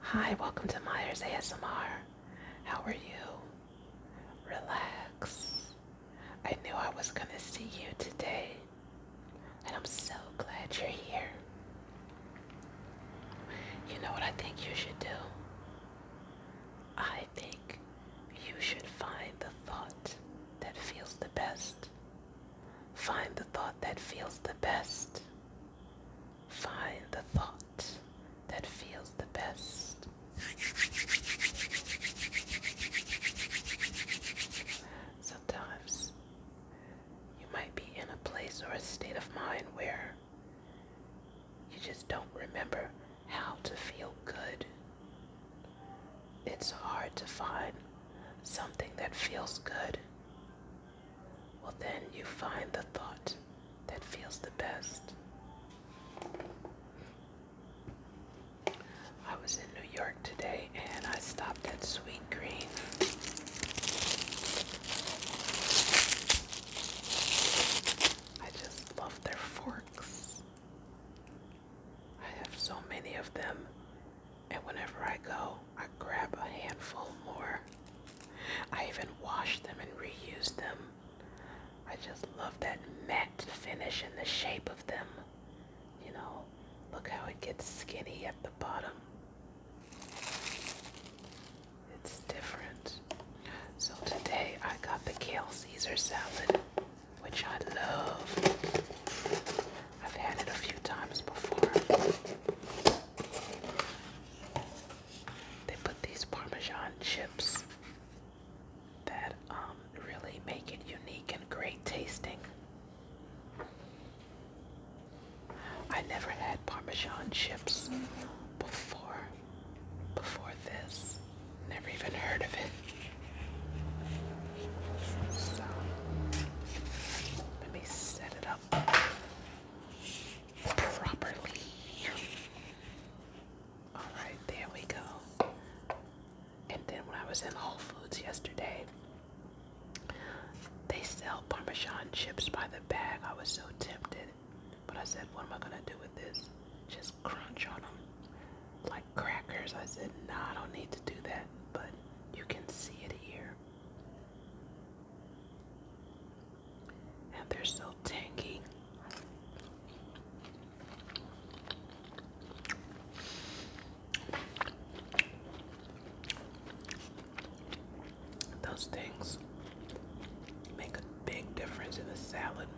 Hi, welcome to Myers ASMR. How are you? Relax. I knew I was gonna see you today, and I'm so glad you're here. You know what I think you should do? I think you should find the thought that feels the best. Find the thought that feels the best. Find the thought that feels the best. Sometimes you might be in a place or a state of mind where you just don't remember how to feel good. It's hard to find something that feels good well, then you find the thought that feels the best. I was in New York today and I stopped at Sweet Green. I just love their forks. I have so many of them, and whenever I go, I grab a handful more. I even wash them and reuse them. I just love that matte finish and the shape of them. You know, look how it gets skinny at the bottom. It's different. So today I got the kale Caesar salad, which I love. I've had it a few times before. They put these Parmesan chips that um, really make it unique and great tasting. I never had Parmesan chips before, before this. Never even heard of it. let me set it up properly. Alright, there we go. And then when I was in Whole Foods yesterday, they sell Parmesan chips by the bag. I was so tempted, but I said, what am I going to do with this? Just crunch on them like crackers. I said, no, nah, I don't need to do that, but you can see it here. And they're so tangy. Those things make a big difference in the salad.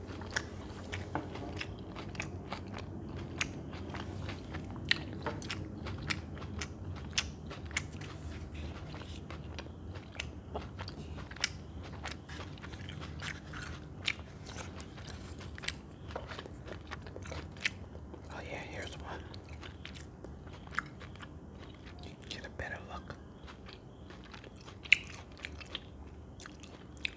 Oh yeah, here's one. get a better look.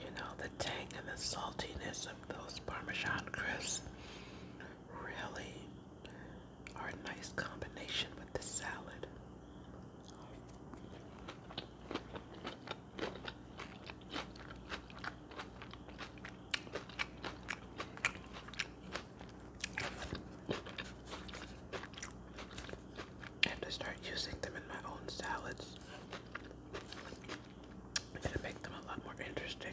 You know, the tang and the saltiness of those Parmesan crisps really are a nice combination with the salad. I have to start using them in my own salads. It'll make them a lot more interesting.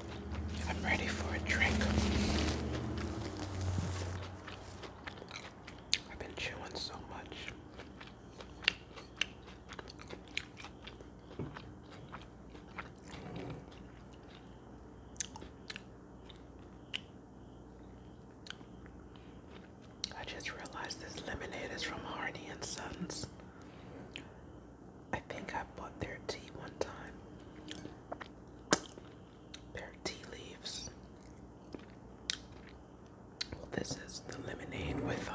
I'm ready for a drink. I've been chewing so much. I just realized this lemonade is from Hardy and Sons. I think I bought their tea one time. Pear tea leaves. Well, this is the lemonade with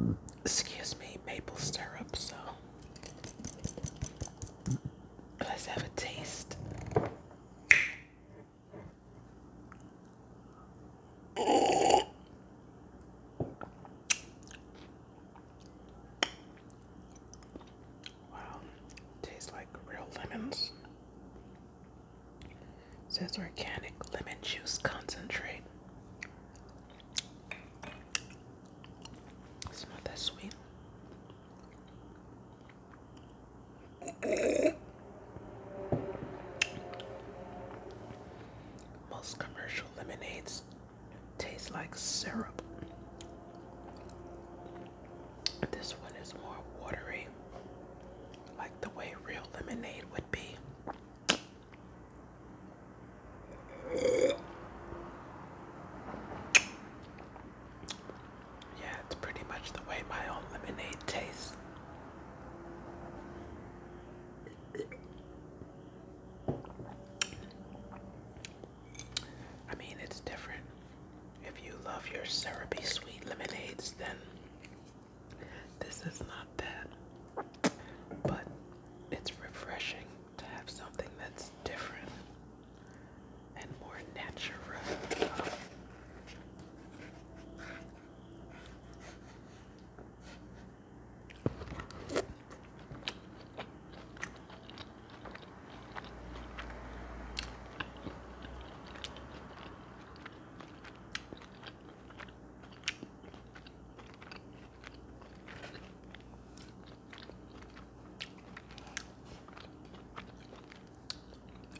um, excuse me, maple syrup. So let's have a taste. Wow, tastes like real lemons. says organic lemon juice concentrate. It's not that sweet. Most commercial lemonades tastes like syrup. This one is more watery, like the way real lemonade would be. Yeah, it's pretty much the way my own lemonade tastes. I mean, it's different. If you love your syrupy sweet lemonades, then this is not that. But it's refreshing to have something that's different and more natural.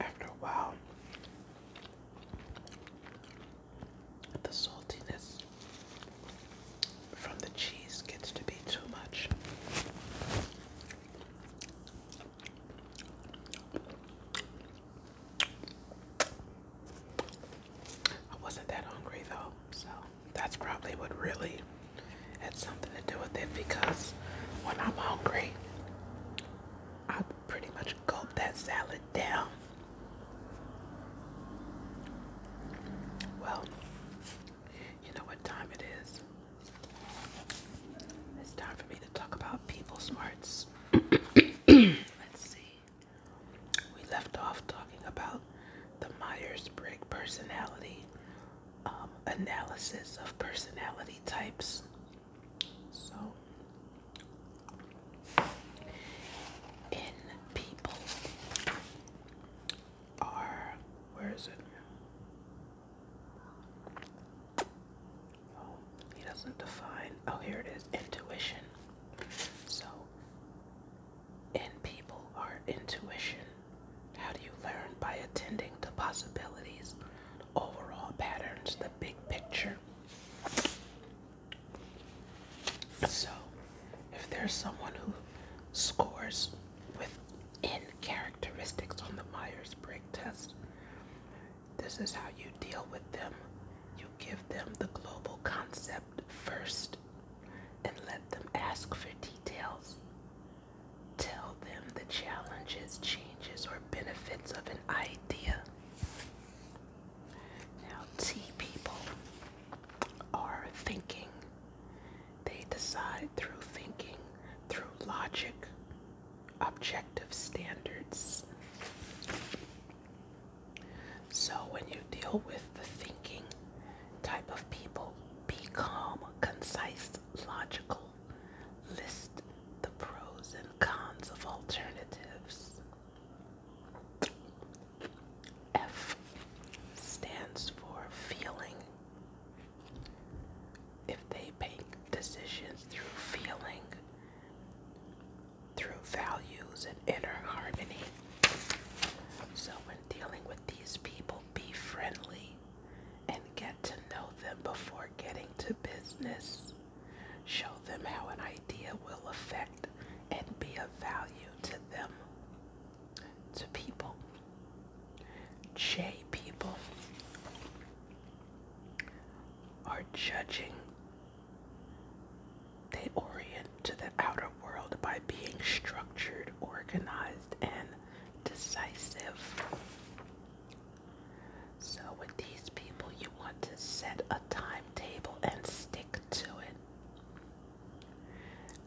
After a while, the saltiness from the cheese gets to be too much. I wasn't that hungry though, so that's probably what really had something to do with it because when I'm hungry, I pretty much gulp that salad down well, you know what time it is. It's time for me to talk about people smarts. Let's see. We left off talking about the Myers-Briggs personality um, analysis of personality types. So, in people, are where is it? Oh, he doesn't define. Oh, here it is. Intuition. So, in people are intuition. How do you learn by attending to possibilities, overall patterns, the big picture? So, if there's someone who scores with within characteristics on the Myers Briggs test, this is how you deal with them. You give them the global concept first and let them ask for details. Tell them the challenges, changes, or benefits of an idea. Now, tea people are thinking. They decide through thinking, through logic, objective standards. So, when you deal with the thinking type of people, be calm, concise, logical. List the pros and cons of alternatives. F stands for feeling. If they make decisions through feeling, through values and inner harmony. So, when dealing with these people, be friendly and get to know them before getting to business. Show them how an idea will affect and be of value to them, to people. J people are judging. They orient to the outer world by being structured, organized, and decisive. So, with these people, you want to set a timetable and stick to it.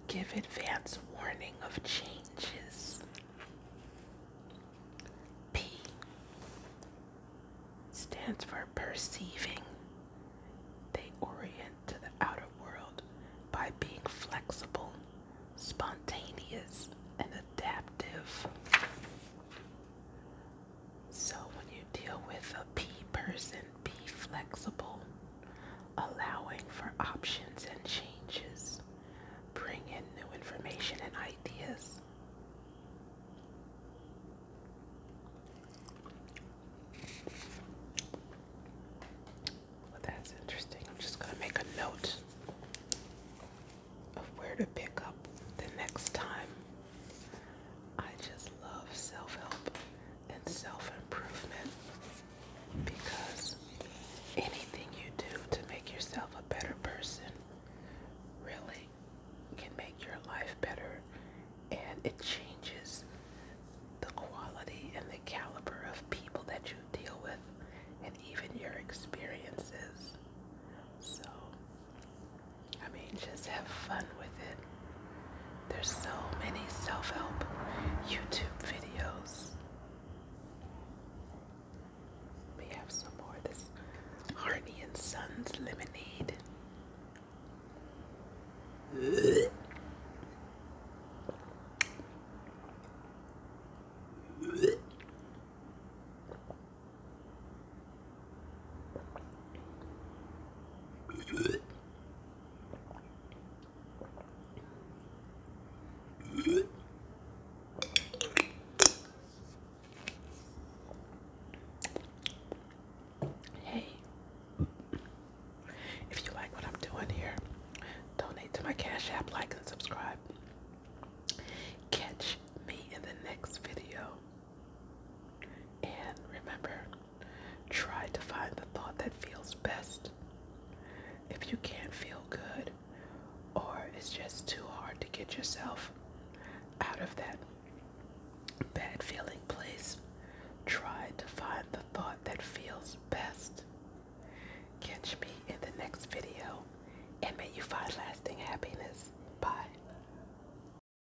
Give advance warning of changes. P stands for perceiving. They orient to the outer world by being flexible, spontaneous, and adaptive. So when you deal with a P person, be flexible, allowing for options and changes. Bring in new information and ideas. Well, that's interesting. I'm just going to make a note of where to pick up the next time. I just love self help and self improvement because anything you do to make yourself a better person really can make your life better and it changes the quality and the caliber of people that you deal with and even your experiences. So I mean, just have fun with it. There's so many self help YouTube videos. We have some more of this Harney and Sons lemonade. Hey, if you like what I'm doing here, donate to my Cash App, like, and subscribe. Catch me in the next video. And remember, try to find the thought that feels best. If you can't feel good or it's just too hard to get yourself out of that bad feeling place, try to find the thought that feels best. Catch me in the next video and may you find lasting happiness. Bye.